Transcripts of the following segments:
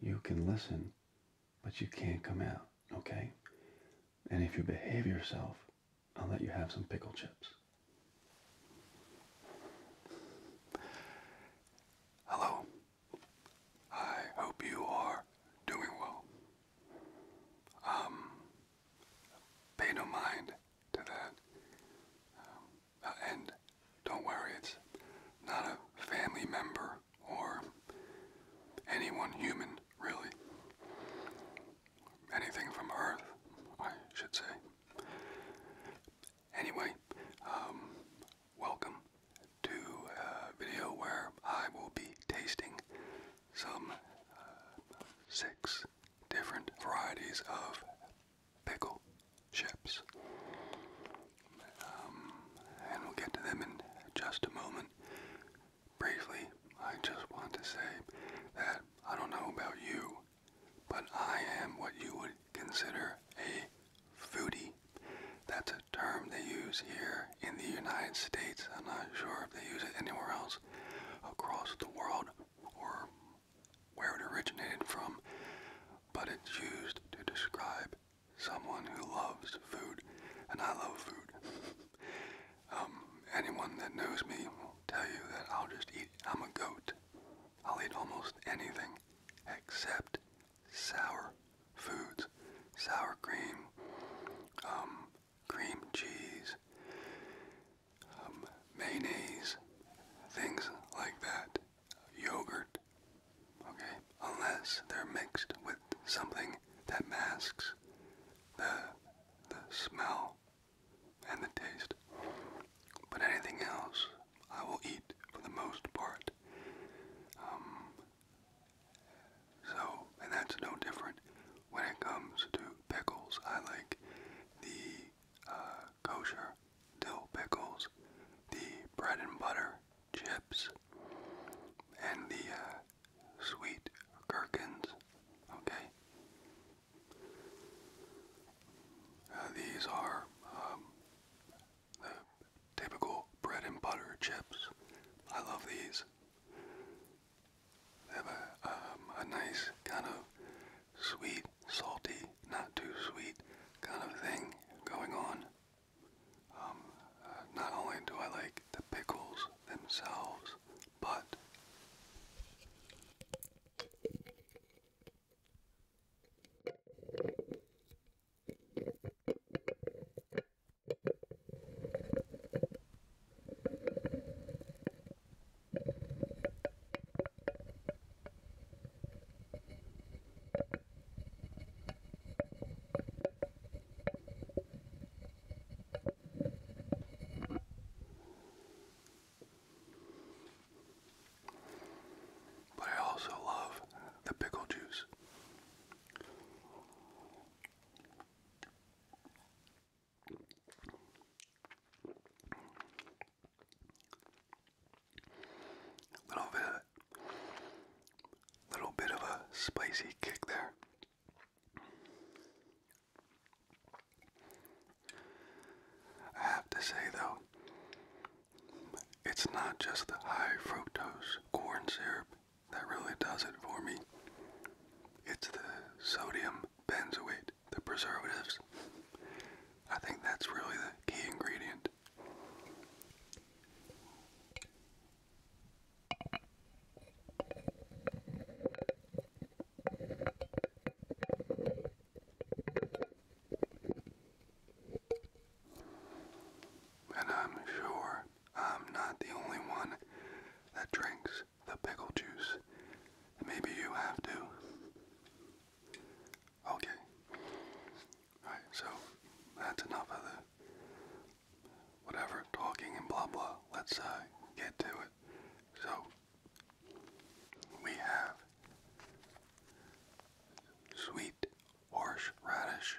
You can listen, but you can't come out, okay? And if you behave yourself, I'll let you have some pickle chips. Hello. I hope you are doing well. Um, pay no mind to that. Um, and don't worry, it's not a family member or anyone human, really. Anything from Earth, I should say. Anyway, um, welcome to a video where I will be tasting some uh, six different varieties of pickle ships. Um, and we'll get to them in just a moment. Briefly, I just want to say that I don't know about you, but I am what you would consider a foodie. That's a term they use here in the United States. I'm not sure if they use it anywhere else across the world or where it originated from, but it's used to describe someone who loves food, and I love food. um, anyone that knows me will tell you that I'll just eat. I'm a goat. I'll eat almost anything except sour foods, sour cream, um, cream cheese, um, mayonnaise, things like that yogurt, okay, unless they're mixed with something that masks the, the smell and the taste. But anything else, I will eat for the most part. Um, so, and that's no different when it comes to pickles. I like the uh, kosher dill pickles, the bread and butter chips and the uh, sweet gherkins. Okay. Uh, these are um, the typical bread and butter chips. I love these. They have a, um, a nice kind of sweet, salty, not too sweet kind of thing going on. Um, uh, not only do I like the pickles themselves, but but I also love the pickle juice. A little bit little bit of a spicy kick there. I have to say though, it's not just the high fructose corn syrup that really does it for me. It's the sodium benzoate, the preservatives. I think that's really the key ingredient. And I'm sure I'm not the only one that drinks the pickle juice. Maybe you have to. Okay. Alright, so that's enough of the whatever talking and blah blah. Let's uh, get to it. So we have sweet horseradish.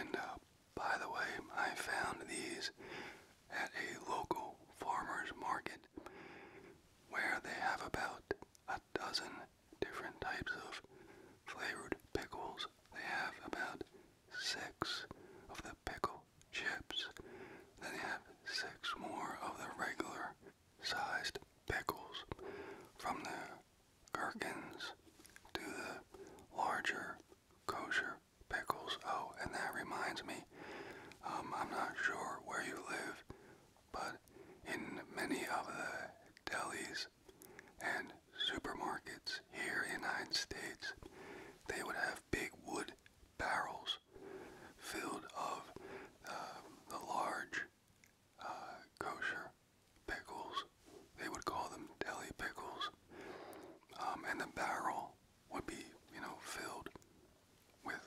And uh, by the way, I found these at a local farmer's market where they have about a dozen different types of flavored pickles. They have about six of the pickle chips. Then they have six more of the regular sized pickles from the gherkins to the larger kosher pickles. Oh, and that reminds me, um, I'm not sure where you live, but in many of the delis and supermarkets here in the United States, they would have big wood barrels filled of uh, the large uh, kosher pickles. They would call them deli pickles. Um, and the barrel would be, you know, filled with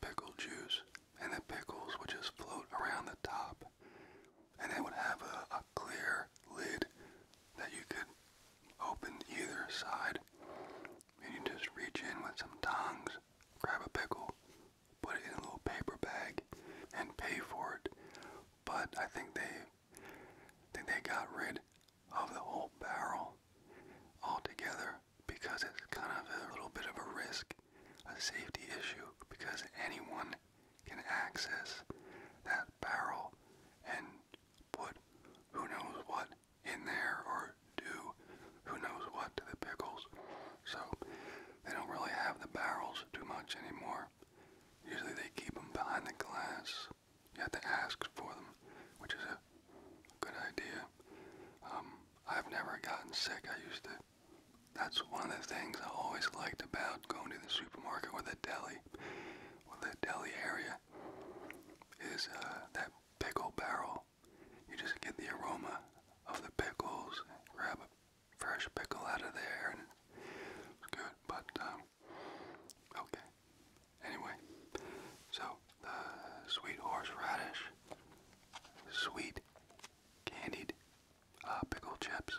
pickle juice. And the pickles would just float around the top. And it would have a, a clear lid that you could open either side. And you just reach in with some tongs dollars, grab a pickle, put it in a little paper bag, and pay for it. But I think they I think they got rid of the whole barrel altogether because it's kind of a little bit of a risk, a safety issue, because anyone can access that barrel and put who knows what in there or do who knows what to the pickles. So they don't really have the barrels too much anymore. Usually they keep them behind the glass. You have to ask for them, which is a good idea. Um, I've never gotten sick. I used to. That's one of the things I always liked about going to the supermarket or the deli, or the deli area, is uh, that pickle barrel you just get the aroma of the pickles, grab a fresh pickle out of there, good. But um, okay. Anyway, so the sweet horseradish, sweet candied uh, pickle chips.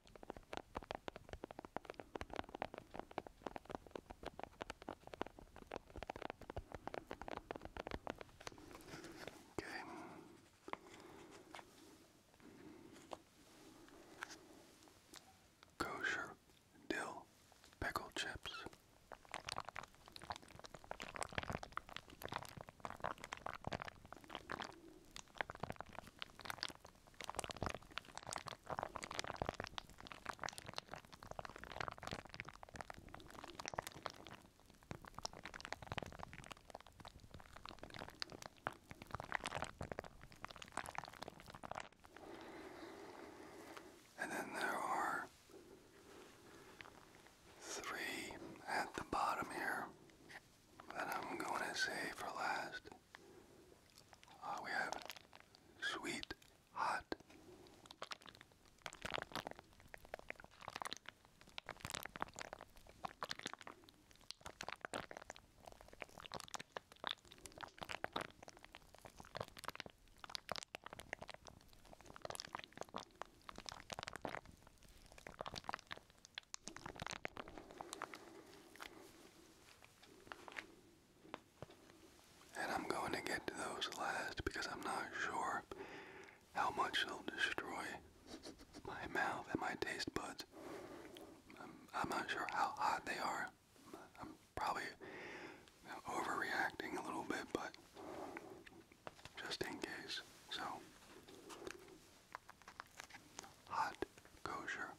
Okay. Kosher dill pickle chips. And then there are three at the bottom here that I'm going to save for last. Oh, we have sweet hot. And I'm going to get to those last because I'm not sure how much they'll destroy my mouth and my taste buds. I'm, not sure how hot they are. I'm probably overreacting a little bit, but just in case. So, hot kosher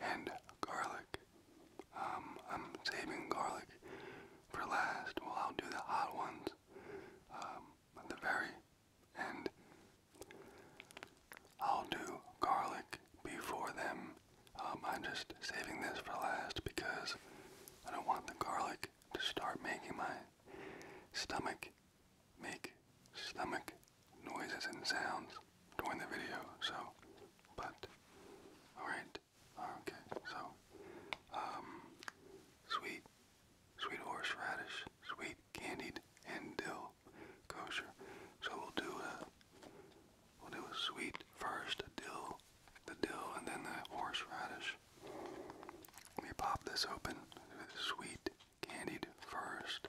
And garlic. Um, I'm saving garlic for last. Well, I'll do the hot ones um, at the very end. I'll do garlic before them. Um, I'm just saving this for last because I don't want the garlic to start making my stomach make stomach noises and sounds during the video, so, but, alright, okay, so, um, sweet, sweet horseradish, sweet candied, and dill kosher, so we'll do a, we'll do a sweet first, dill, the dill, and then the horseradish. Let me pop this open. Sweet candied first,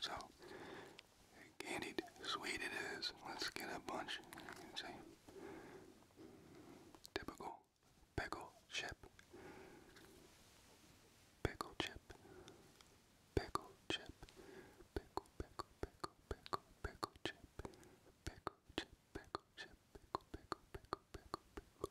So, candied sweet it is. Let's get a bunch. Typical pickle chip. Pickle chip. Pickle chip. Pickle, pickle, pickle, pickle, pickle chip. Pickle chip, pickle chip, pickle, pickle, pickle, pickle.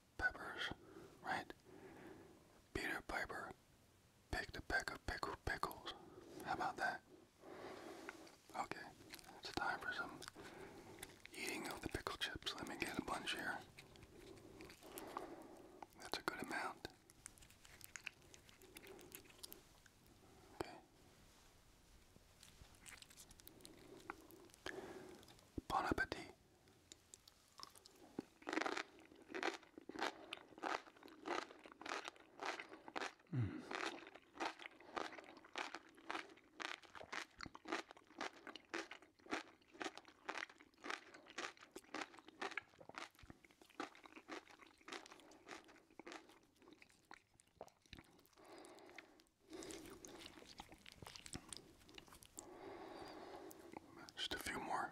peppers, right? Peter Piper picked a peck of pickle pickles. How about that? Okay, it's time for some eating of the pickle chips. Let me get a bunch here. That's a good amount. Okay. Bon appetit. Mm. Just a few more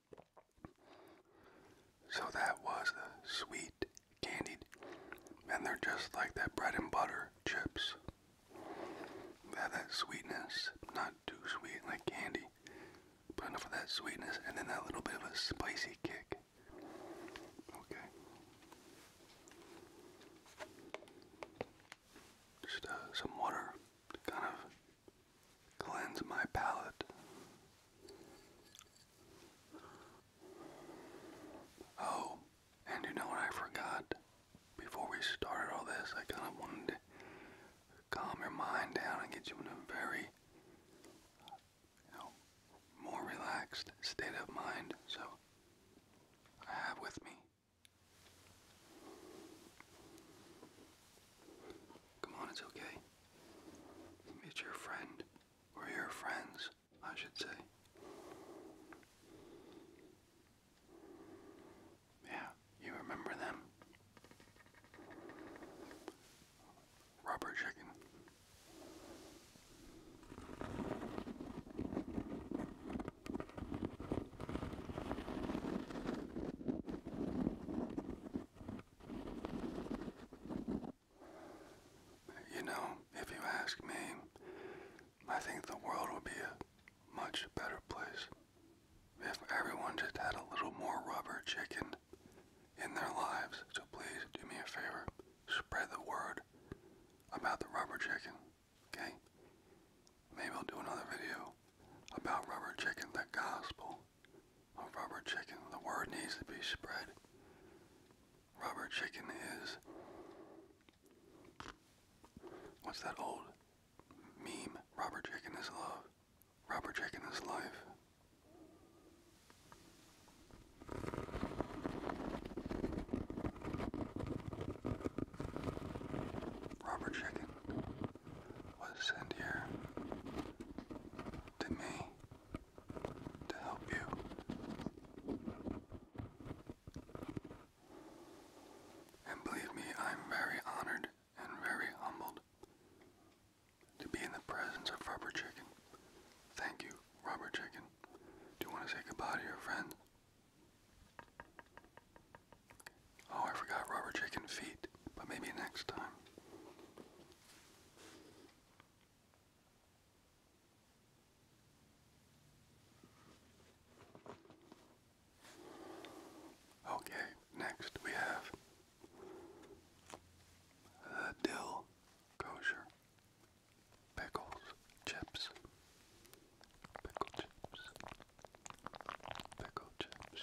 So that was the sweet candied, and they're just like that bread and butter chips. They have that sweetness, not too sweet like candy, but enough of that sweetness, and then that little bit of a spicy kick. Okay. Just uh, some water kind of cleanse my palate. Oh, and you know what I forgot? Before we started all this, I kind of wanted to calm your mind down and get you in a very, you know, more relaxed state of mind. So, I have with me Come on, it's okay. It's your friend. Or your friends, I should say. Yeah, you remember them? Rubber chicken. You know, if you ask me, I think the world would be a much better place if everyone just had a little more rubber chicken in their lives. So please do me a favor, spread the word about the rubber chicken, okay? Maybe I'll do another video about rubber chicken, the gospel of rubber chicken. The word needs to be spread. Rubber chicken is what's that old meme? Rubber chicken is love. Rubber chicken is life. Rubber chicken was sent here to me to help you. And believe me, I'm very honored and very humbled to be in the presence of Rubber Chicken. Thank you, Rubber Chicken. Do you want to say goodbye to your friend? Oh, I forgot Rubber Chicken feet, but maybe next time. Okay, next we have the dill kosher pickles chips. Pickle chips. Pickle chips.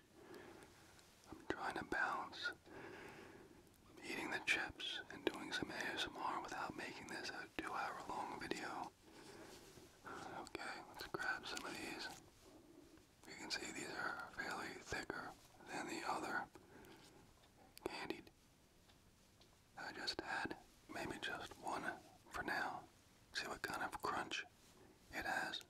I'm trying to balance eating the chips and doing some ASMR without making this a two hour long video. Okay, let's grab some of these. You can see these are fairly thicker than the other candied I just had. Maybe just one for now. See what kind of crunch it has.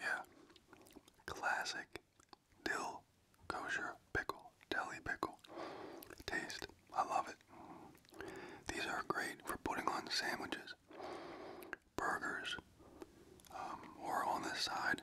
Yeah, classic dill kosher pickle, deli pickle. Taste, I love it. These are great for putting on sandwiches, burgers, um, or on the side.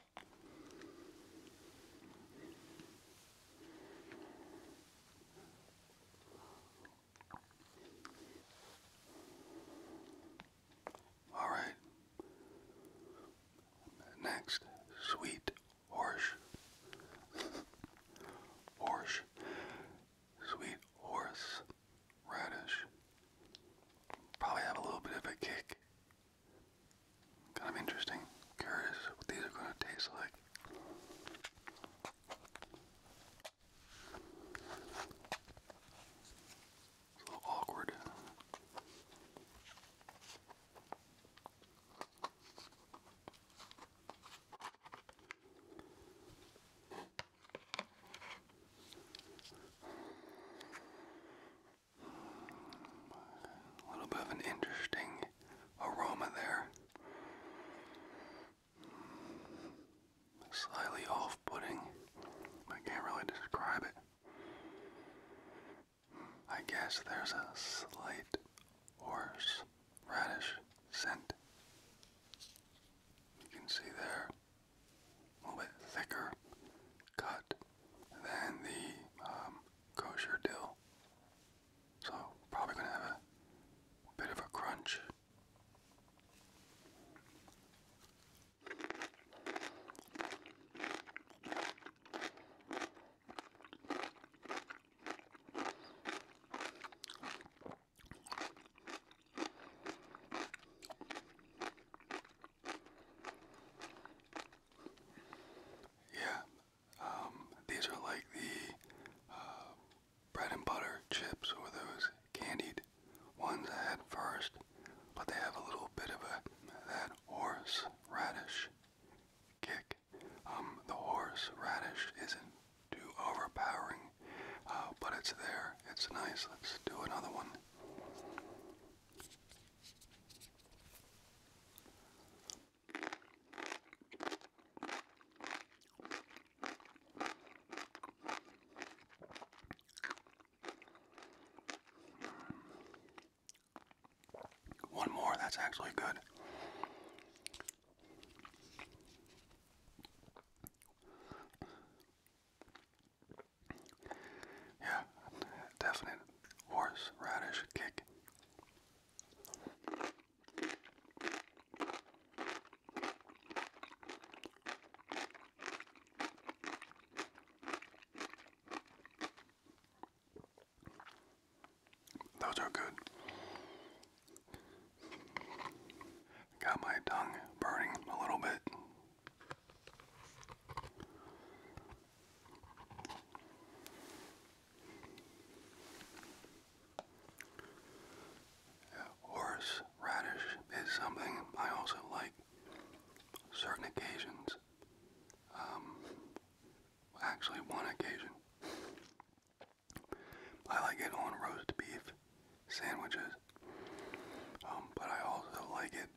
All right. Next, sweet horse. horse. Sweet horse. Radish. Probably have a little bit of a kick Kind of interesting. Curious what these are going to taste like. a little awkward. A little bit of an interesting aroma there. Slightly off putting. I can't really describe it. I guess there's a slight horse radish scent. You can see there a little bit thicker cut than the um, kosher dill. So, probably going to have a bit of a crunch. Yeah, um, these are like the uh, bread and butter chips or those candied ones I had first, but they have a little bit of a that horse radish kick. Um, the horse radish isn't too overpowering, uh, but it's there. It's nice. Let's do another one. One more, that's actually good. Yeah, definite horseradish kick. Those are good. Got my tongue burning a little bit. Horse is something I also like. Certain occasions. Um, actually, one occasion. I like it on roast beef sandwiches, um, but I also like it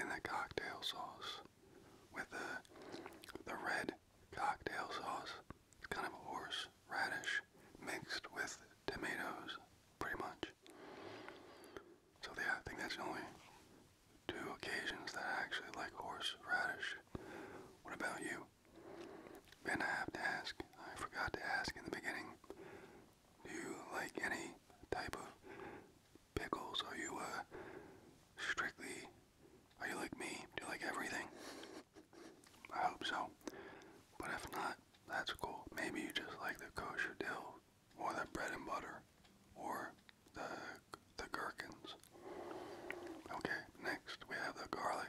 in the cocktail sauce with the, the red cocktail sauce. It's kind of a horseradish mixed with tomatoes, pretty much. So yeah, I think that's the only two occasions that I actually like horseradish. What about you? And I have to ask, I forgot to ask in the beginning, do you like any type of pickles? Are you uh, strictly, are you like me? Do you like everything? I hope so. But if not, that's cool. Maybe you just like the kosher dill, or the bread and butter, or the the gherkins. Okay, next we have the garlic.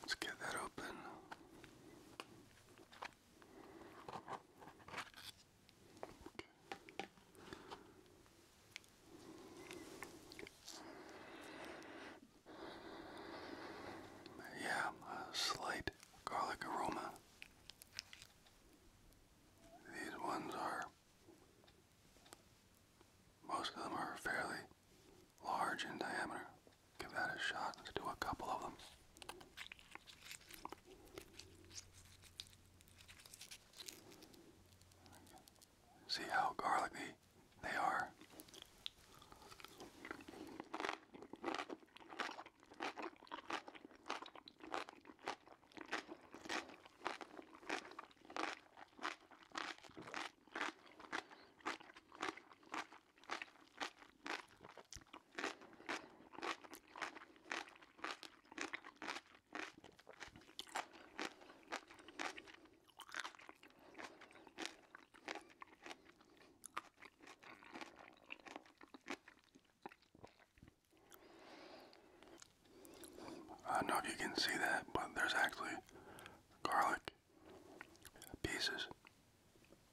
Let's get that open. Okay. Yeah, slight garlic aroma. These ones are, most of them are fairly large in diameter. Give that a shot. Let's do a couple of them. See how garlicky they are. I don't know if you can see that, but there's actually garlic pieces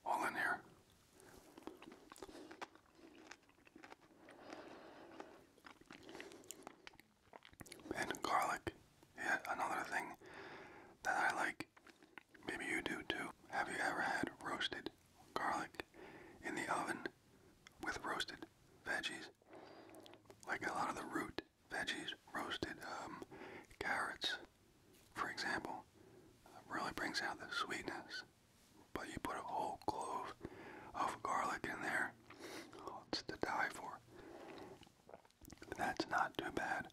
all in here. And garlic Yet another thing that I like, maybe you do too. Have you ever had roasted garlic in the oven with roasted veggies? Like a lot of the root veggies, roasted um, carrots, for example, really brings out the sweetness. But you put a whole clove of garlic in there, oh, it's to die for. That's not too bad.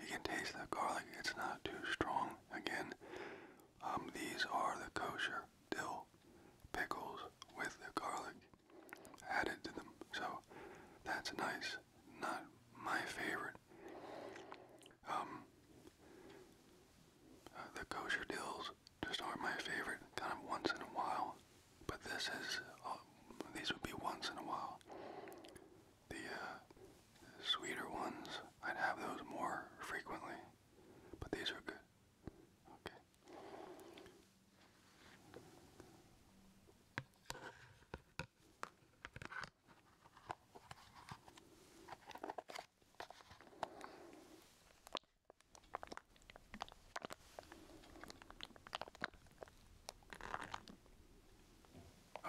You can taste the garlic. It's not too strong. Again, um, these are the kosher dill pickles with the garlic added to them. So that's nice. Not my favorite. Um, uh, the kosher dills just aren't my favorite. Kind of once in a while. But this is, uh, these would be once in a while the uh, sweeter ones, I'd have those more frequently, but these are good. Okay.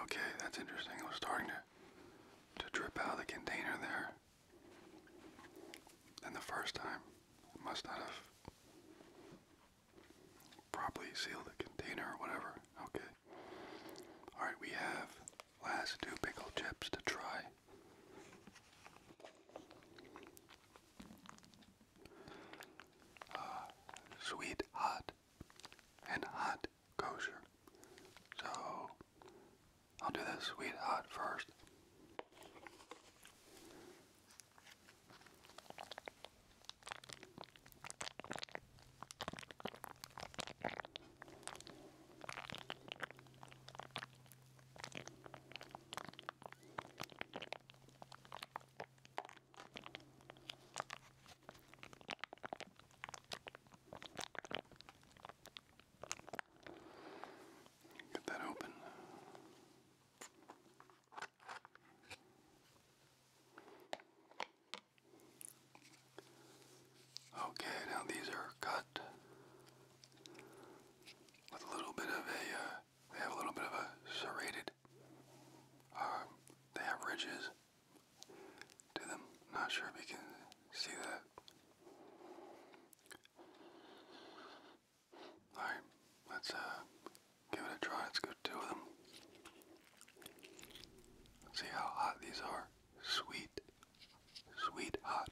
Okay, that's interesting. It was starting to to drip out of the container there. And the first time, it must not have properly sealed the container or whatever. Okay. All right, we have last two pickle chips to try. Ah, sweet hot and hot kosher. So I'll do the sweet hot first. Get that open. Okay, now these are cut with a little bit of a, uh, they have a little bit of a serrated uh, they have ridges to them. Not sure if you can see that. Alright, let's uh, give it a try. Let's go two of them. see how hot these are. Sweet, sweet hot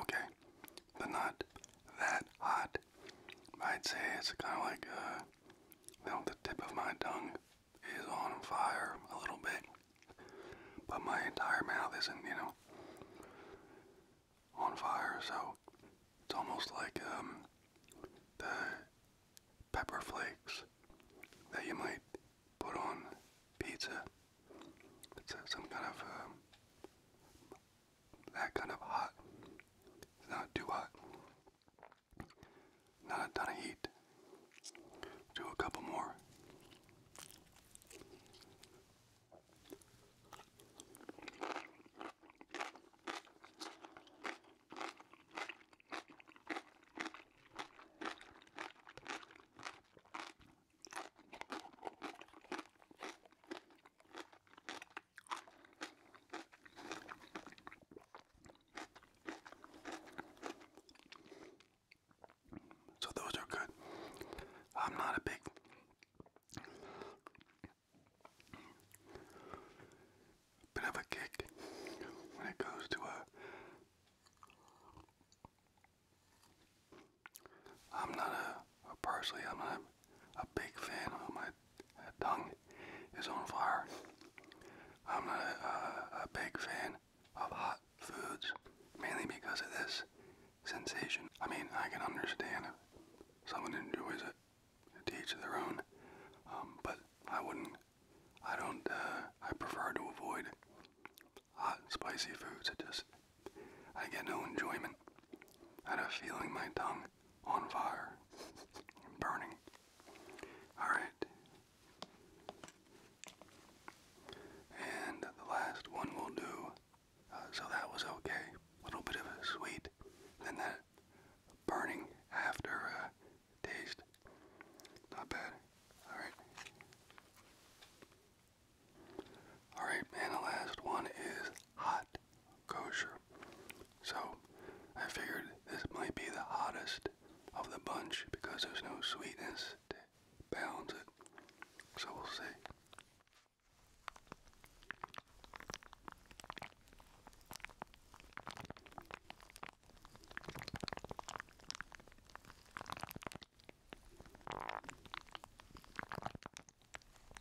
okay, but not that hot. I'd say it's kind of like a uh, now the tip of my tongue is on fire a little bit, but my entire mouth isn't, you know, on fire. So it's almost like um, the pepper flakes that you might put on pizza. It's some kind of um, that kind of hot. not too hot. Not a ton of heat. Do a couple more. So those are good. I'm not a big bit of a kick when it goes to a I'm not a, a parsley, I'm not a big fan of my tongue uh, is on fire. I'm not a, big fan of hot foods, mainly because of this sensation. I mean, I can understand if someone enjoys it, to each their own, um, but I wouldn't, I don't, uh, I prefer to avoid hot, spicy foods. It just, I get no enjoyment out of feeling my tongue on fire, burning. Alright. And the last one will do. Uh, so that was okay. little bit of a sweet. Then that burning after uh, taste. Not bad. Alright. Alright, and the last one is hot kosher. So I figured this might be the hottest of the bunch because there's no sweetness to balance it. So we'll see.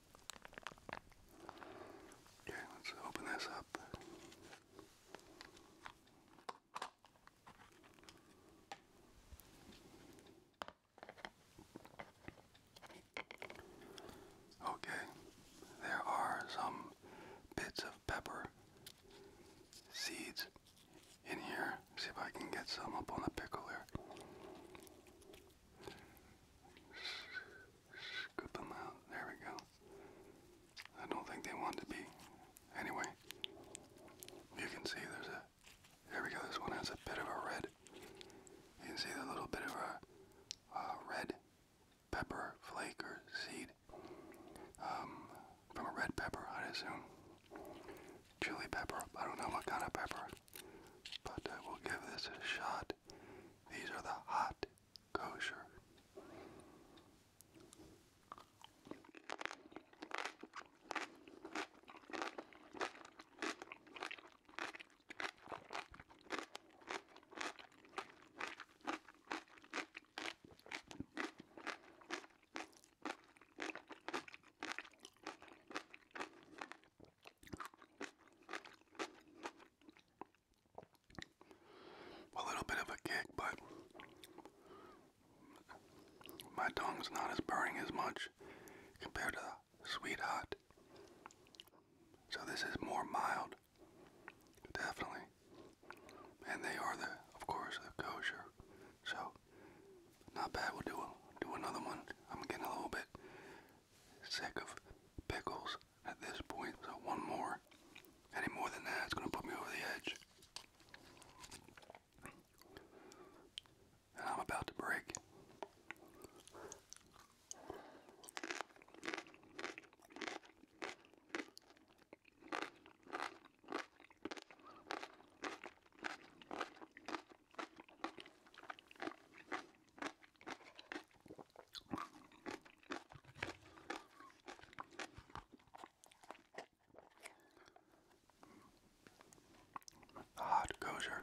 Okay, let's open this up. Okay, there are some bits of pepper seeds in here. See if I can get some up on the pickle there. Scoop them out. There we go. I don't think they want to be. Anyway, you can see there's a. There we go. This one has a bit of a red. You can see the little bit of a red pepper flake or seed um, from a red pepper, i assume. Chili pepper. I don't know what kind of pepper, but uh, we'll give this a shot. These are the hot Oh, sure a little bit of a kick, but my tongue's not as burning as much compared to sweet hot. So this is more mild, definitely. And they are the, of course, the kosher. So not bad. We'll do do another one. I'm getting a little bit sick of pickles at this point, so one more. Any more than that, it's going to put me over the edge. And I'm about to break. Hot kosher.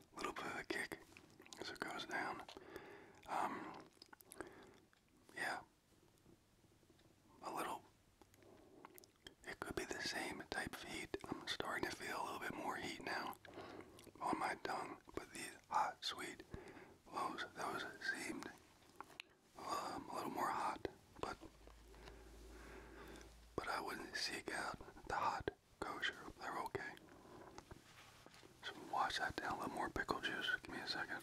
A little bit of a kick as it goes down. Um, yeah. A little. It could be the same type of heat. I'm starting to feel a little bit more heat now on my tongue, but these hot, sweet loaves, those seemed um, a little more hot, but but I wouldn't seek out the hot kosher. They're okay. So wash that down. A little more pickle juice. Give me a second.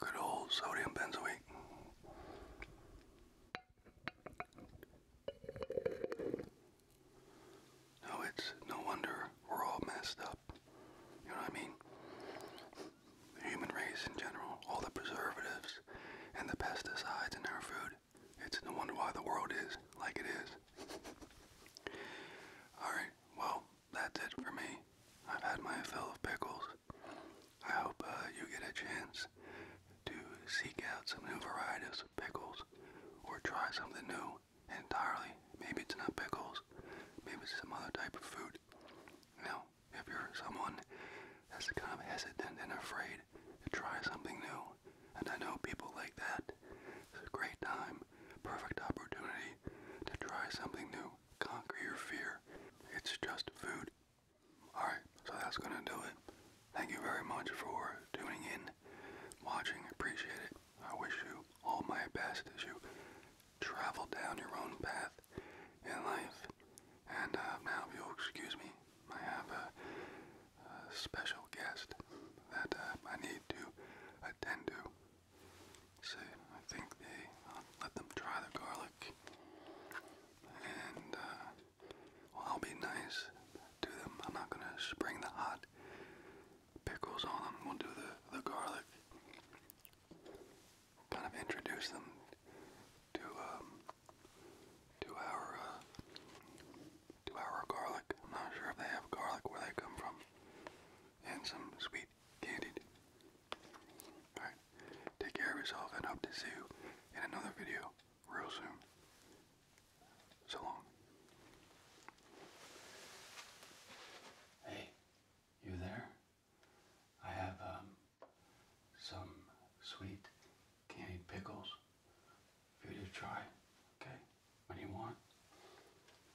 Good old sodium benzoate. No, oh, it's no wonder we're all messed up. You know what I mean? The human race in general, all the preservatives and the pesticides in our food, it's no wonder why the world is like it is. Alright, well, that's it for me. I've had my fill of pickles. I hope uh, you get a chance to seek out some new varieties of pickles or try something new entirely. Maybe it's not pickles, maybe it's some other type of food. Now, if you're someone that's kind of hesitant and afraid to try something new, and I know people like that. It's a great time, perfect opportunity to try something new, conquer your fear. It's just food. Alright, so that's gonna do it. Thank you very much for tuning in, watching, appreciate it. I wish you all my best as you travel down your own path in life. And uh, now, if you'll excuse me, I have a special guest that uh, I need to attend to. So I think they um, let them try the garlic, and uh, I'll be nice to them. I'm not gonna spring the hot pickles on them. We'll do the the garlic. Kind of introduce them to um, to our uh, to garlic. I'm not sure if they have garlic where they come from, and some sweet candied. All right, take care of and hope to see you in another video real soon. So long. Hey, you there? I have um, some sweet candied pickles you to try. Okay? What you want?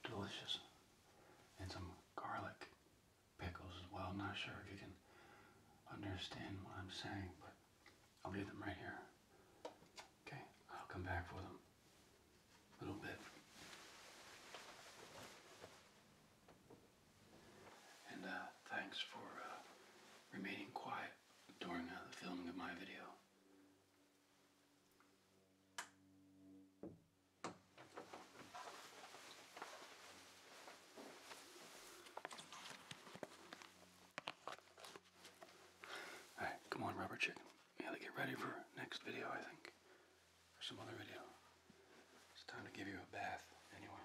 Delicious. And some garlic pickles as well. I'm not sure if you can understand what I'm saying, but I'll leave them right here. Okay? I'll come back for them. A little bit. And uh, thanks for uh, remaining quiet during uh, the filming of my video. Alright, come on, rubber chicken. We to get ready for next video, I think. Or some other video. It's time to give you a bath, anyway.